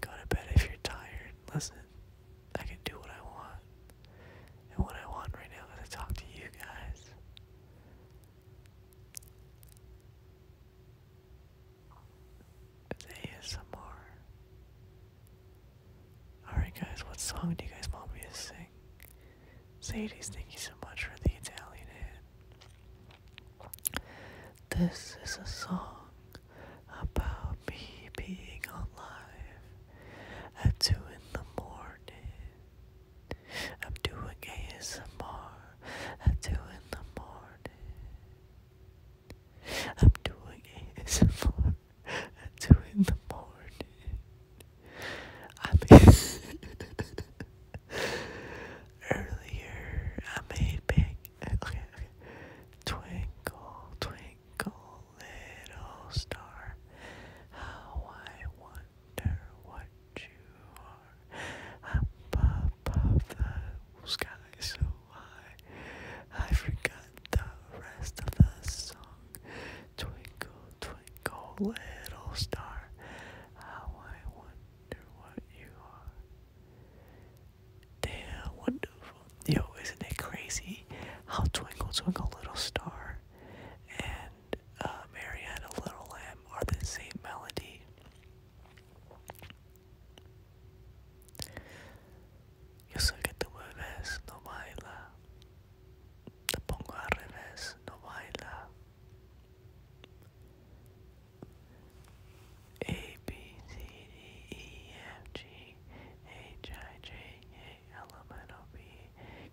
Go to bed if you're tired. Listen, I can do what I want. And what I want right now is to talk to you guys. It's ASMR. Alright guys, what song do you guys want me to sing? Sadie's, thank you so much for the Italian hand. This is a song about me being alive at 2 in the morning. I'm doing ASMR at 2 in the morning. I'm doing ASMR at 2 in the morning. I mean, Earlier, I made big. Uh, twinkle, twinkle, little star. How I wonder what you are. Up above the sky so high. I forgot the rest of the song. Twinkle, twinkle, little star. How I wonder what you are they wonderful. Yo, isn't it crazy how Twinkle Twinkle Little Star and uh, Mary Had a Little Lamb are the same melody? Yo sé que tú me ves, no baila. Te pongo al revés, no baila. A B C D E F G H I J K L M N O P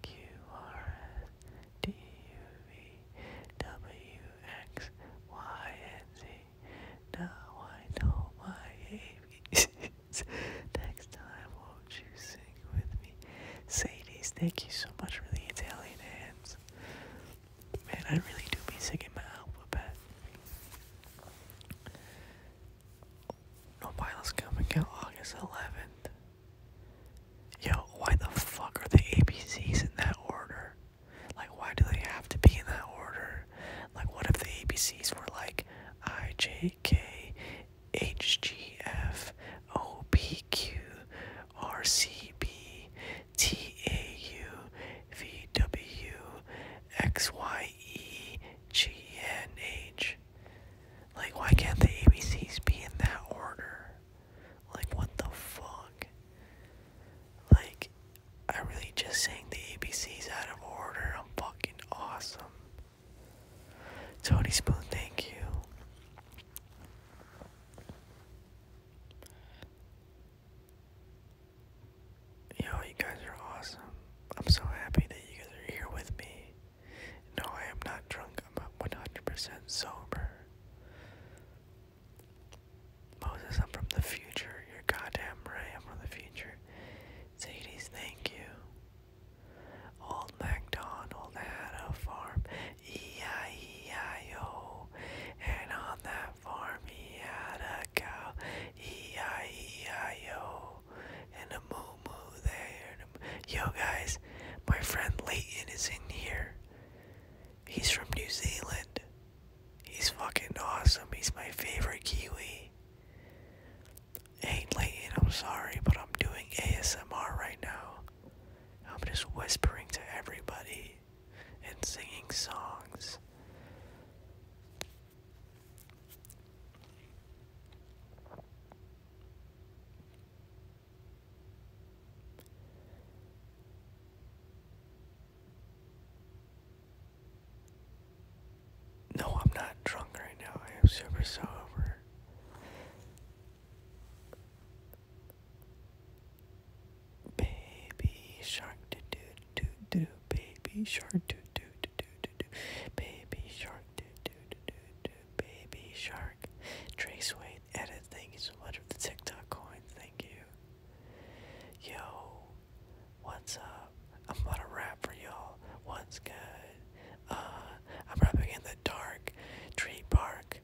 Q R S T U V W X Y and Z. Now I know my ABCs. Next time, won't you sing with me? Sadie's, thank you so much for the Italian hands. Man, I really do be singing my alphabet. No pilots coming out August 11th. Yo, why the fuck are the ABCs in that order? Like, why do they have to be in that order? Like, what if the ABCs were like I, J, K, H, G, F, O, P, Q, R, C, B, T A U V W X Y E G N H. Like, why can't the ABCs be in that order? Like, what the fuck? Like, I really just sang the ABCs out of order. I'm fucking awesome. Tony Spoon, thank you. Yo, you guys are awesome. I'm so happy that you guys are here with me. No, I am not drunk. I'm 100% sober. Moses, I'm from the future. You're goddamn right. I'm from the future. Sadie's, thank you. Old MacDon, old Hatta farm. E-I-E-I-O and on that farm he had a cow, E-I-E-I-O, and a moo-moo there. Yo guys, my friend Leighton is in here. He's from New Zealand. He's fucking awesome. He's my favorite Kiwi. Hey Leighton, I'm sorry, but I'm doing ASMR right now. I'm just whispering to everybody and singing songs. No, I'm not drunk right now. I am super sober. Baby shark do do do do baby shark do do do do do do baby shark do do do do do baby shark Trace Wade edit thank you so much for the TikTok coin thank you Yo what's up I'm about to rap for y'all what's good uh I'm rapping in the dark tree bark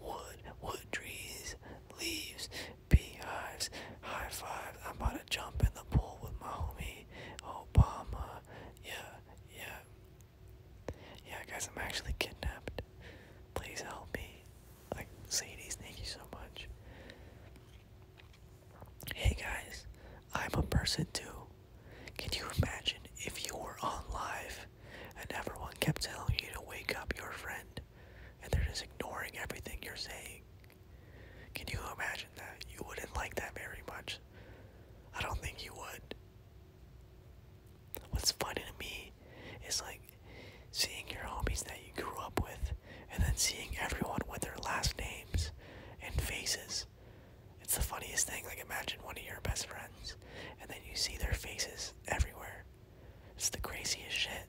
wood, wood, trees, leaves, beehives, high fives. I'm about to jump in the pool with my homie Obama. Yeah, yeah. Yeah, guys, I'm actually kidnapped. Please help me. Like, Sadie's, thank you so much. Hey guys, I'm a person too. Can you imagine if you were on live and everyone kept telling you to wake up your friend? and they're just ignoring everything you're saying. Can you imagine that? You wouldn't like that very much. I don't think you would. What's funny to me is like seeing your homies that you grew up with and then seeing everyone with their last names and faces. It's the funniest thing. Like imagine one of your best friends and then you see their faces everywhere. It's the craziest shit.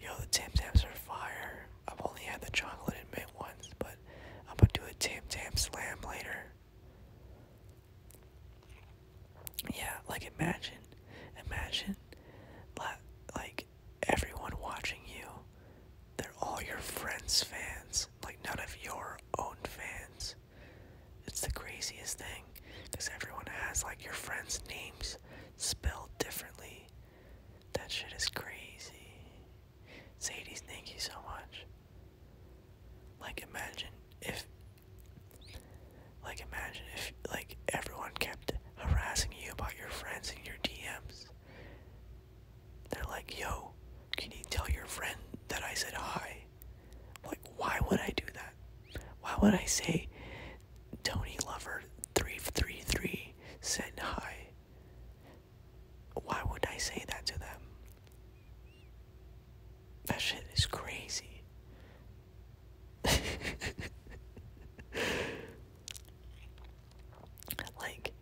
Yo, the Tam Tams are fire. I've only had the chocolate mint ones, but I'm gonna do a Tam Tam slam later. Yeah, like imagine, imagine, like everyone watching you, they're all your friends' fans, like none of your own fans. It's the craziest thing because everyone has like your friends' names spelled differently. That shit is crazy. Sadie's, thank you so much. Like, imagine if. Like, imagine if, like, everyone kept harassing you about your friends in your DMs. They're like, yo, can you tell your friend that I said hi? Like, why would I do that? Why would I say Tony Lover 333 said hi? Why would I say that to them? That shit is crazy. like,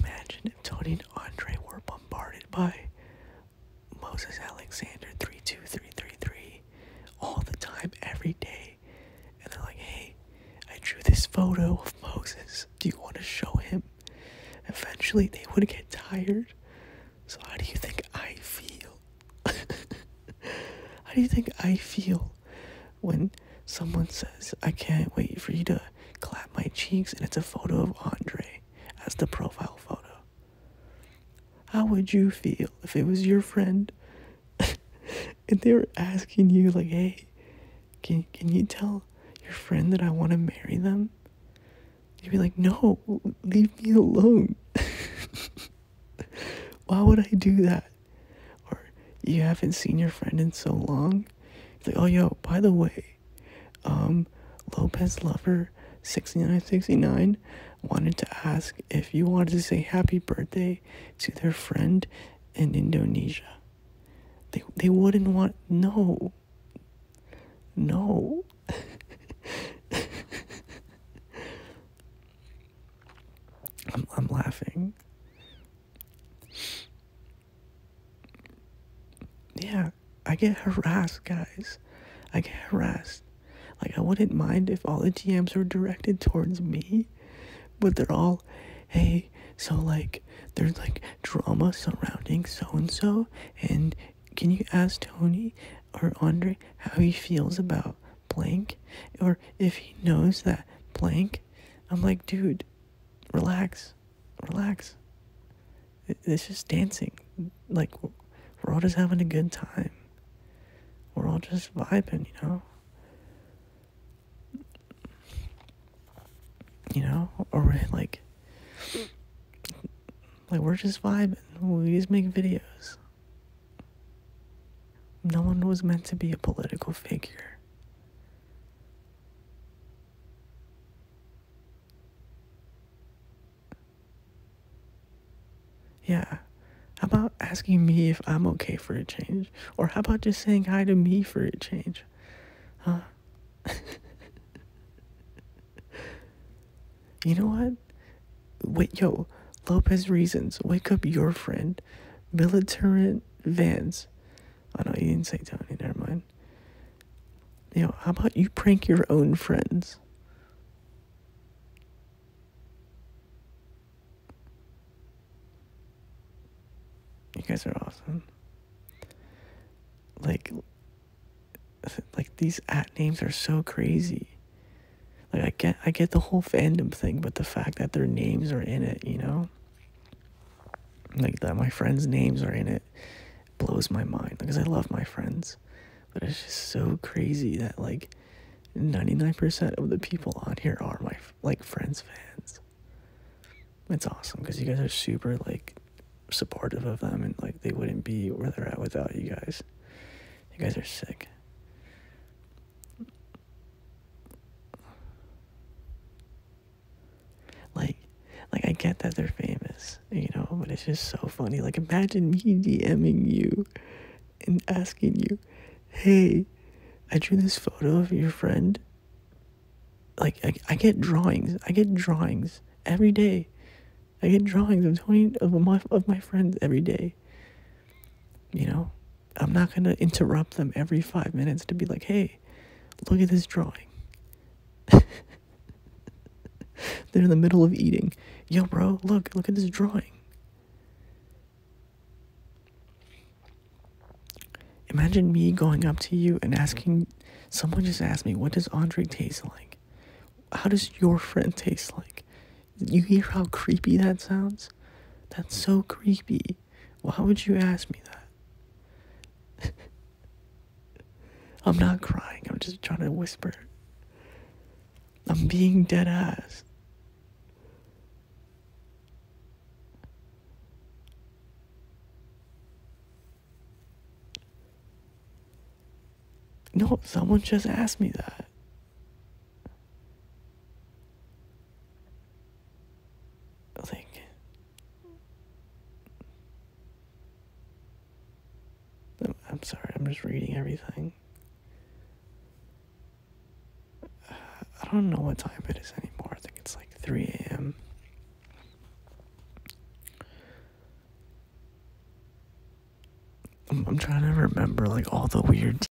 imagine if Tony and Andre were bombarded by Moses Alexander 32333 all the time, every day. And they're like, hey, I drew this photo of Moses. Do you want to show him? Eventually, they would get tired. So, how do you think I feel? how do you think I feel when someone says, I can't wait for you to clap my cheeks and it's a photo of Andre as the profile photo? How would you feel if it was your friend and they were asking you like, "Hey, can can you tell your friend that I want to marry them?" You'd be like, "No, leave me alone." Why would I do that? Or you haven't seen your friend in so long. It's like, "Oh, yo, by the way, um, Lopez Lover 6969 wanted to ask if you wanted to say happy birthday to their friend in Indonesia. They they wouldn't want no. No. I'm I'm laughing. Yeah. I get harassed, guys. I get harassed. Like, I wouldn't mind if all the DMs were directed towards me, but they're all, hey, so like, there's like drama surrounding so and so, and can you ask Tony or Andre how he feels about blank, or if he knows that blank? I'm like, dude, relax, relax it's just dancing. Like, we're all just having a good time. We're all just vibing, you know? You know? Or, like, like, we're just vibing. We just make videos. No one was meant to be a political figure. Yeah. How about asking me if I'm okay for a change? Or how about just saying hi to me for a change? Huh? you know what? Wait, yo, Lopez Reasons, wake up your friend, Militarant Vans. I oh, know you didn't say Tony, never mind. Yo, how about you prank your own friends? You guys are awesome. Like, like these at names are so crazy. Like I get, I get the whole fandom thing, but the fact that their names are in it, you know, like that my friends' names are in it, blows my mind because I love my friends, but it's just so crazy that like 99% of the people on here are my like friends fans. It's awesome because you guys are super like supportive of them and like they wouldn't be where they're at without you guys. You guys are sick. Like like I get that they're famous, you know, but it's just so funny. Like imagine me DMing you and asking you, "Hey, I drew this photo of your friend." Like I, I get drawings. I get drawings every day. I get drawings of twenty of my of my friends every day. You know, I'm not gonna interrupt them every five minutes to be like, "Hey, look at this drawing." They're in the middle of eating. Yo, bro, look, look at this drawing. Imagine me going up to you and asking, someone just asked me, what does Andre taste like? How does your friend taste like? You hear how creepy that sounds? That's so creepy. Why would you ask me that? I'm not crying. I'm just trying to whisper. I'm being dead ass. No, someone just asked me that. Like, I'm sorry, I'm just reading everything. I don't know what time it is anymore. I think it's like 3 a.m. I'm, trying to remember like all the weird.